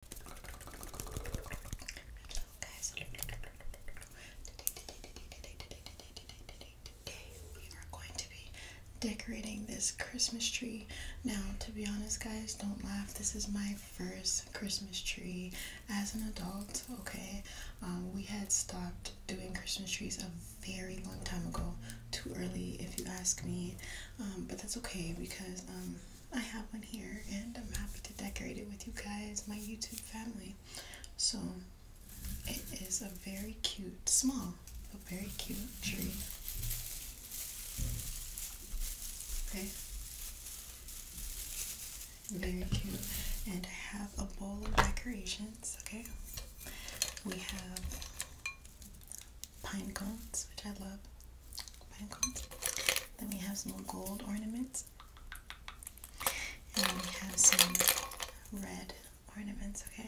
Hello guys. Today, today, today, today, today, today, today, today, today, we are going to be decorating this Christmas tree. Now, to be honest, guys, don't laugh. This is my first Christmas tree as an adult. Okay, we had stopped doing Christmas trees a very long time ago. Too early, if you ask me. but that's okay because I have one here and I'm happy to decorate it with you guys, my YouTube family. So it is a very cute, small, but very cute tree. Okay. Very cute. And I have a bowl of decorations, okay? We have pine cones, which I love. Pine cones. Then we have some gold ornaments. And we have some red ornaments, okay?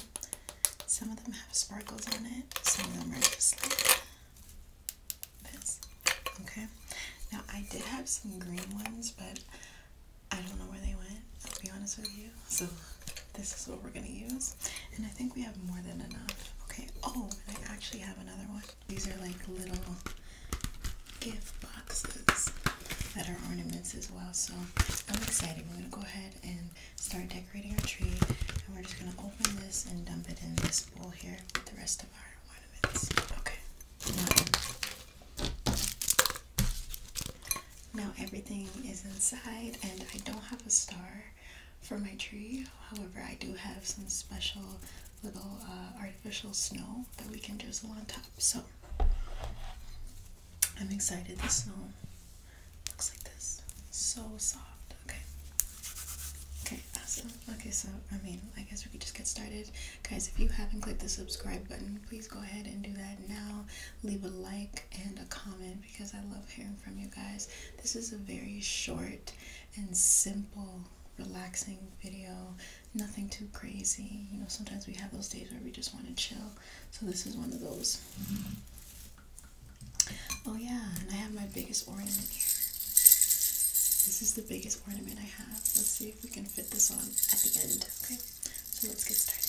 Some of them have sparkles on it, some of them are just like this. Okay. Now I did have some green ones, but I don't know where they went, I'll be honest with you. So this is what we're gonna use. And I think we have more than enough. Okay, oh, and I actually have another one. These are like little gift boxes that are ornaments as well. So I'm excited. We're going to go ahead and start decorating our tree. And we're just going to open this and dump it in this bowl here with the rest of our ornaments. Okay. now everything is inside and I don't have a star for my tree. However, I do have some special little uh, artificial snow that we can drizzle on top. So I'm excited. The snow looks like this. So soft. Okay. Okay, awesome. Okay, so I mean, I guess we could just get started. Guys, if you haven't clicked the subscribe button, please go ahead and do that now. Leave a like and a comment because I love hearing from you guys. This is a very short and simple, relaxing video. Nothing too crazy. You know, sometimes we have those days where we just want to chill. So this is one of those. Oh yeah, and I have my biggest ornament here. This is the biggest ornament I have. Let's see if we can fit this on at the end. Okay, so let's get started.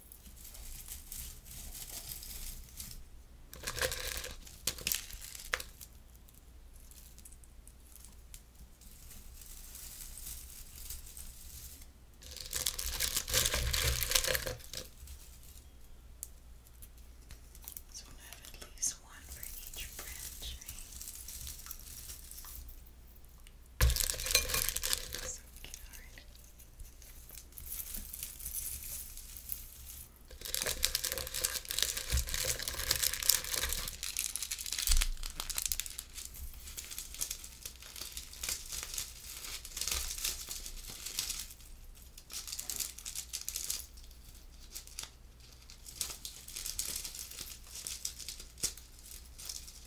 So we'll have at least one for each branch, so cute. Wow.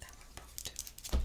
That one broke too.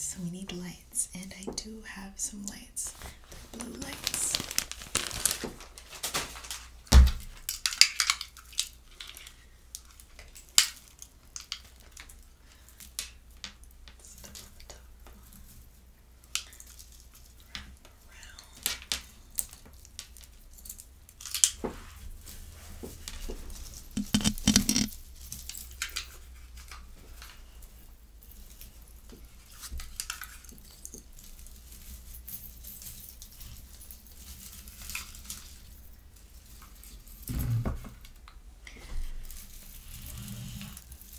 So Lights. we need lights, and I do have some lights. blue lights. Stop the top. Wrap around. Right.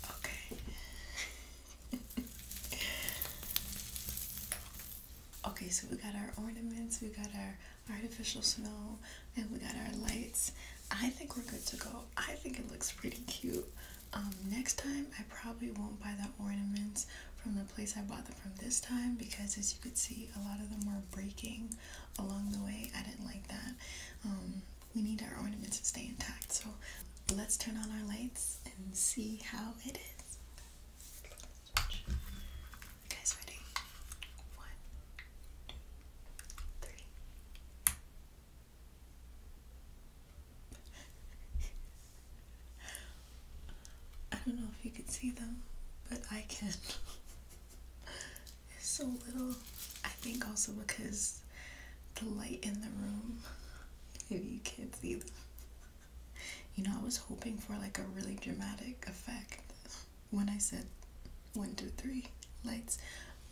Okay. okay, so we got our ornaments, we got our artificial snow, and we got our lights. I think we're good to go. I think it looks pretty cute. Um, next time, I probably won't buy the ornaments from the place I bought them from this time because, as you could see, a lot of them were breaking along the way. I didn't like that. Um, we need our ornaments to stay intact, so let's turn on our lights and see how it is. guys ready? One, two, three. I don't know if you can see them, but I can. it's so little. I think also because the light in the room, maybe you can't see them. You know, I was hoping for like a really dramatic effect when I said one, two, three lights,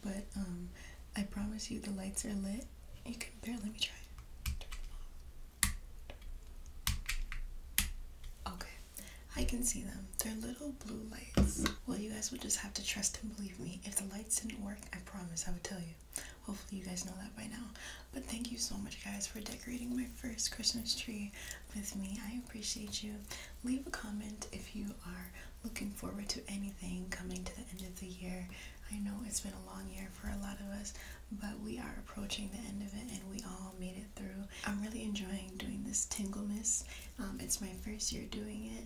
but um, I promise you the lights are lit. You can barely me try. Okay, I can see them. They're little blue lights. Well, you guys would just have to trust and believe me. If the lights didn't work, I promise I would tell you. Hopefully, you guys know that by now. But thank you so much, guys, for decorating my first Christmas tree with me. I appreciate you. Leave a comment if you are looking forward to anything coming to the end of the year. I know it's been a long year for a lot of us, but we are approaching the end of it and we all made it through. I'm really enjoying doing this Tingleness. Um, it's my first year doing it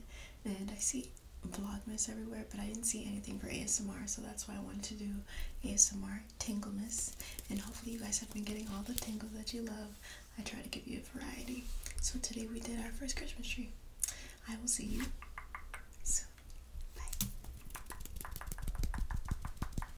and I see Vlogmas everywhere, but I didn't see anything for ASMR, so that's why I wanted to do ASMR Tingleness. And hopefully you guys have been getting all the tingles that you love. I try to give you a variety. So today we did our first Christmas tree. I will see you soon. Bye.